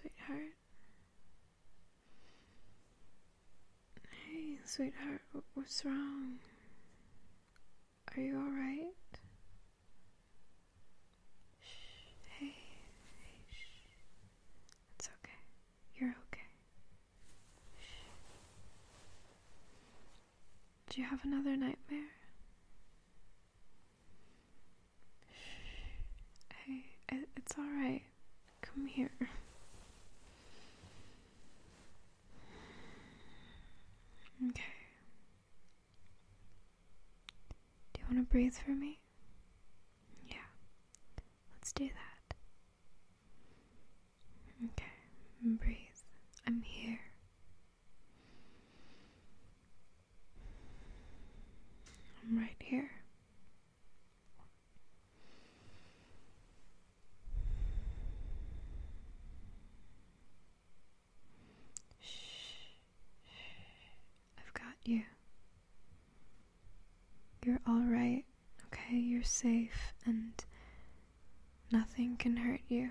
Sweetheart. Hey, sweetheart, what's wrong? Are you alright? Hey, hey, It's okay. You're okay. Do you have another nightmare? Hey, it's alright. Come here. Okay. Do you want to breathe for me? Yeah. Let's do that. Okay, breathe. I'm here. I'm right here. Shh. I've got you. You're alright, okay? You're safe and nothing can hurt you.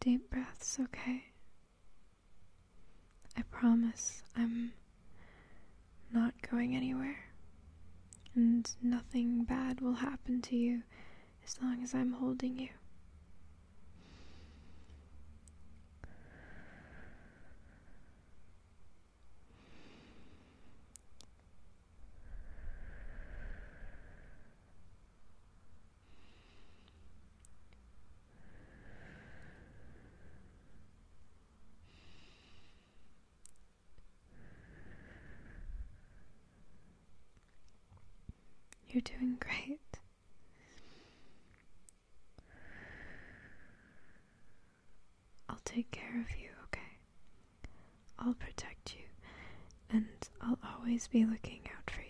Deep breaths, okay? I promise I'm not going anywhere. And nothing bad will happen to you as long as I'm holding you. You're doing great. I'll take care of you, okay? I'll protect you, and I'll always be looking out for you.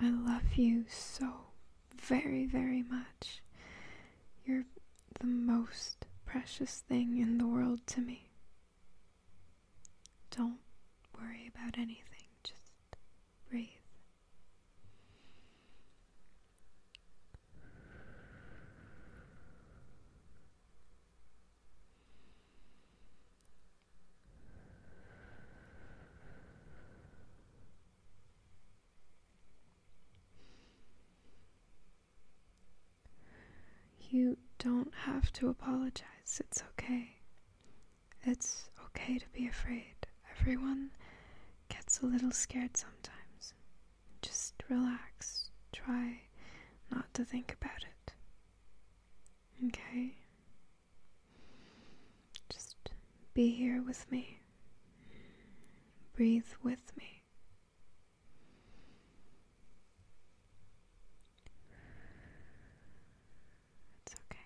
I love you so very, very much. You're the most precious thing in the world to me. Don't worry about anything, just breathe. You don't have to apologize. It's okay. It's okay to be afraid. Everyone gets a little scared sometimes. Just relax. Try not to think about it. Okay? Just be here with me. Breathe with me. It's okay.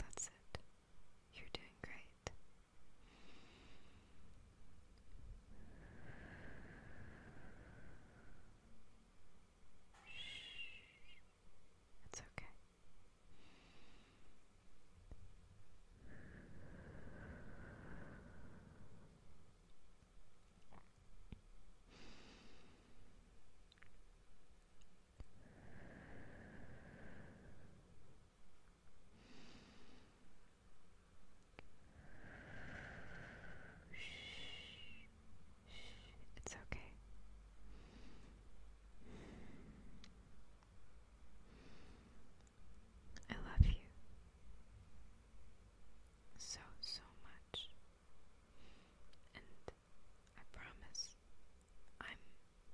That's it. You're doing great. It's okay. It's okay. I love you so, so much. And I promise I'm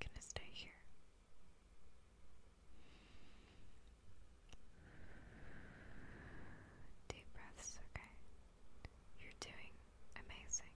gonna stay here Deep breaths, okay? You're doing amazing.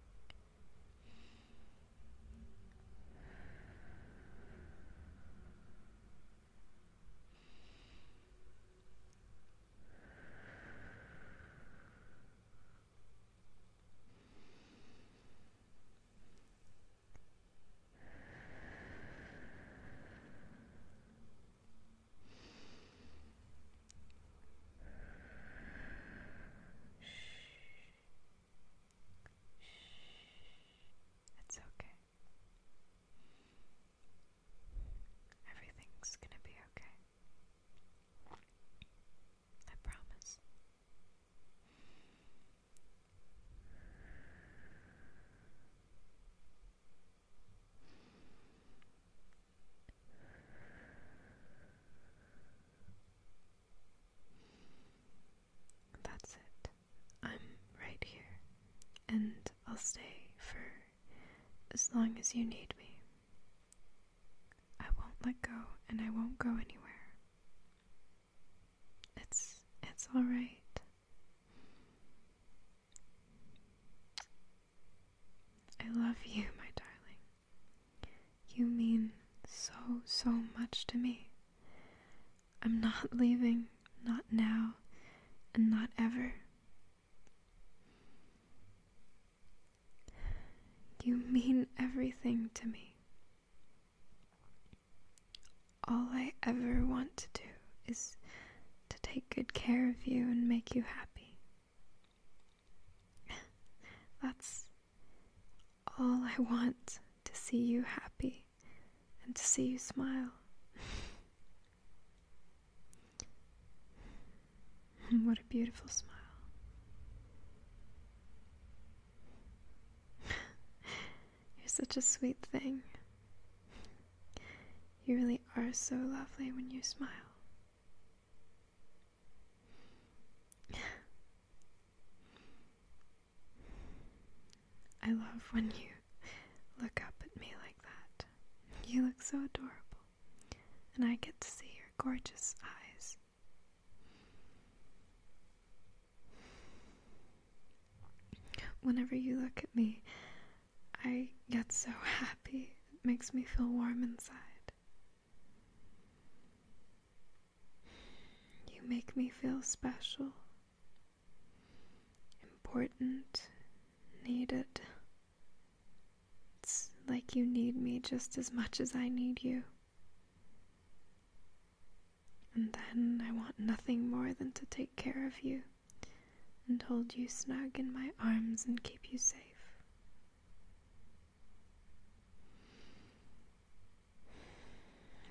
It's okay. Everything's gonna be okay. I promise. That's it. I'm right here, and I'll stay for as long as you need me. I won't let go, and I won't go anywhere. It's it's all right. I love you, my darling. You mean so so much to me. I'm not leaving, not now, and not ever. You mean everything to me. All I ever want to do is to take good care of you and make you happy. That's all I want to see you happy and to see you smile. what a beautiful smile. You're such a sweet thing. You really are so lovely when you smile. I love when you look up at me like that. You look so adorable, and I get to see your gorgeous eyes. Whenever you look at me, I get so happy. It makes me feel warm inside. You make me feel special, important, needed. It's like you need me just as much as I need you. And then I want nothing more than to take care of you and hold you snug in my arms and keep you safe.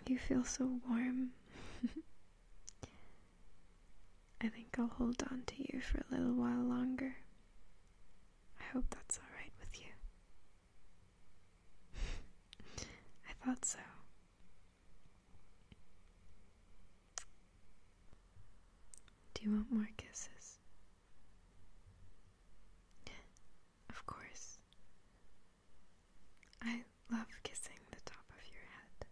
You feel so warm. I think I'll hold on to you for a little while longer. I hope that's alright with you. I thought so. Do you want more kisses? Of course. I love kissing the top of your head.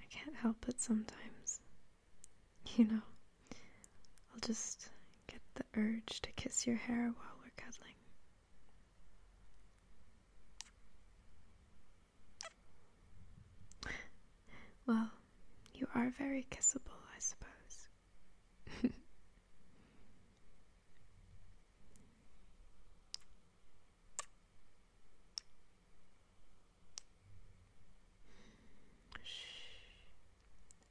I can't help it sometimes. You know, I'll just get the urge to kiss your hair while we're cuddling. Well, you are very kissable, I suppose. Shh.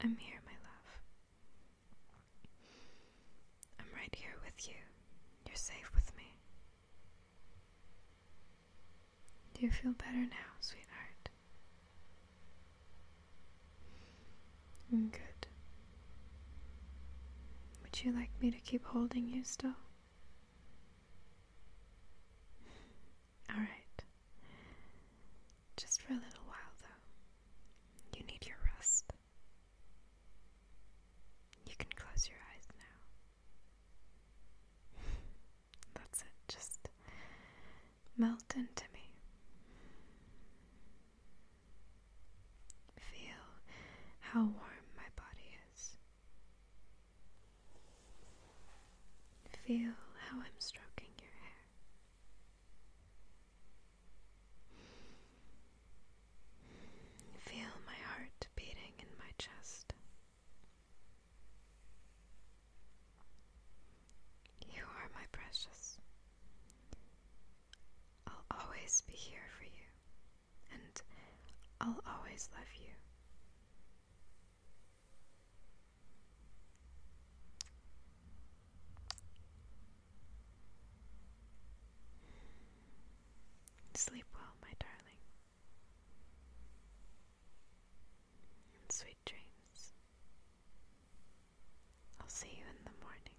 I'm here, my love. I'm right here with you. You're safe with me. Do you feel better now, sweetheart? Mm, good. Would you like me to keep holding you still? Alright. Just for a little while, though. You need your rest. You can close your eyes now. That's it. Just melt into me. Feel how warm my body is. Feel how I'm stroking your hair. Feel my heart beating in my chest. You are my precious. I'll always be here for you, and I'll always love you. Sleep well, my darling, sweet dreams. I'll see you in the morning.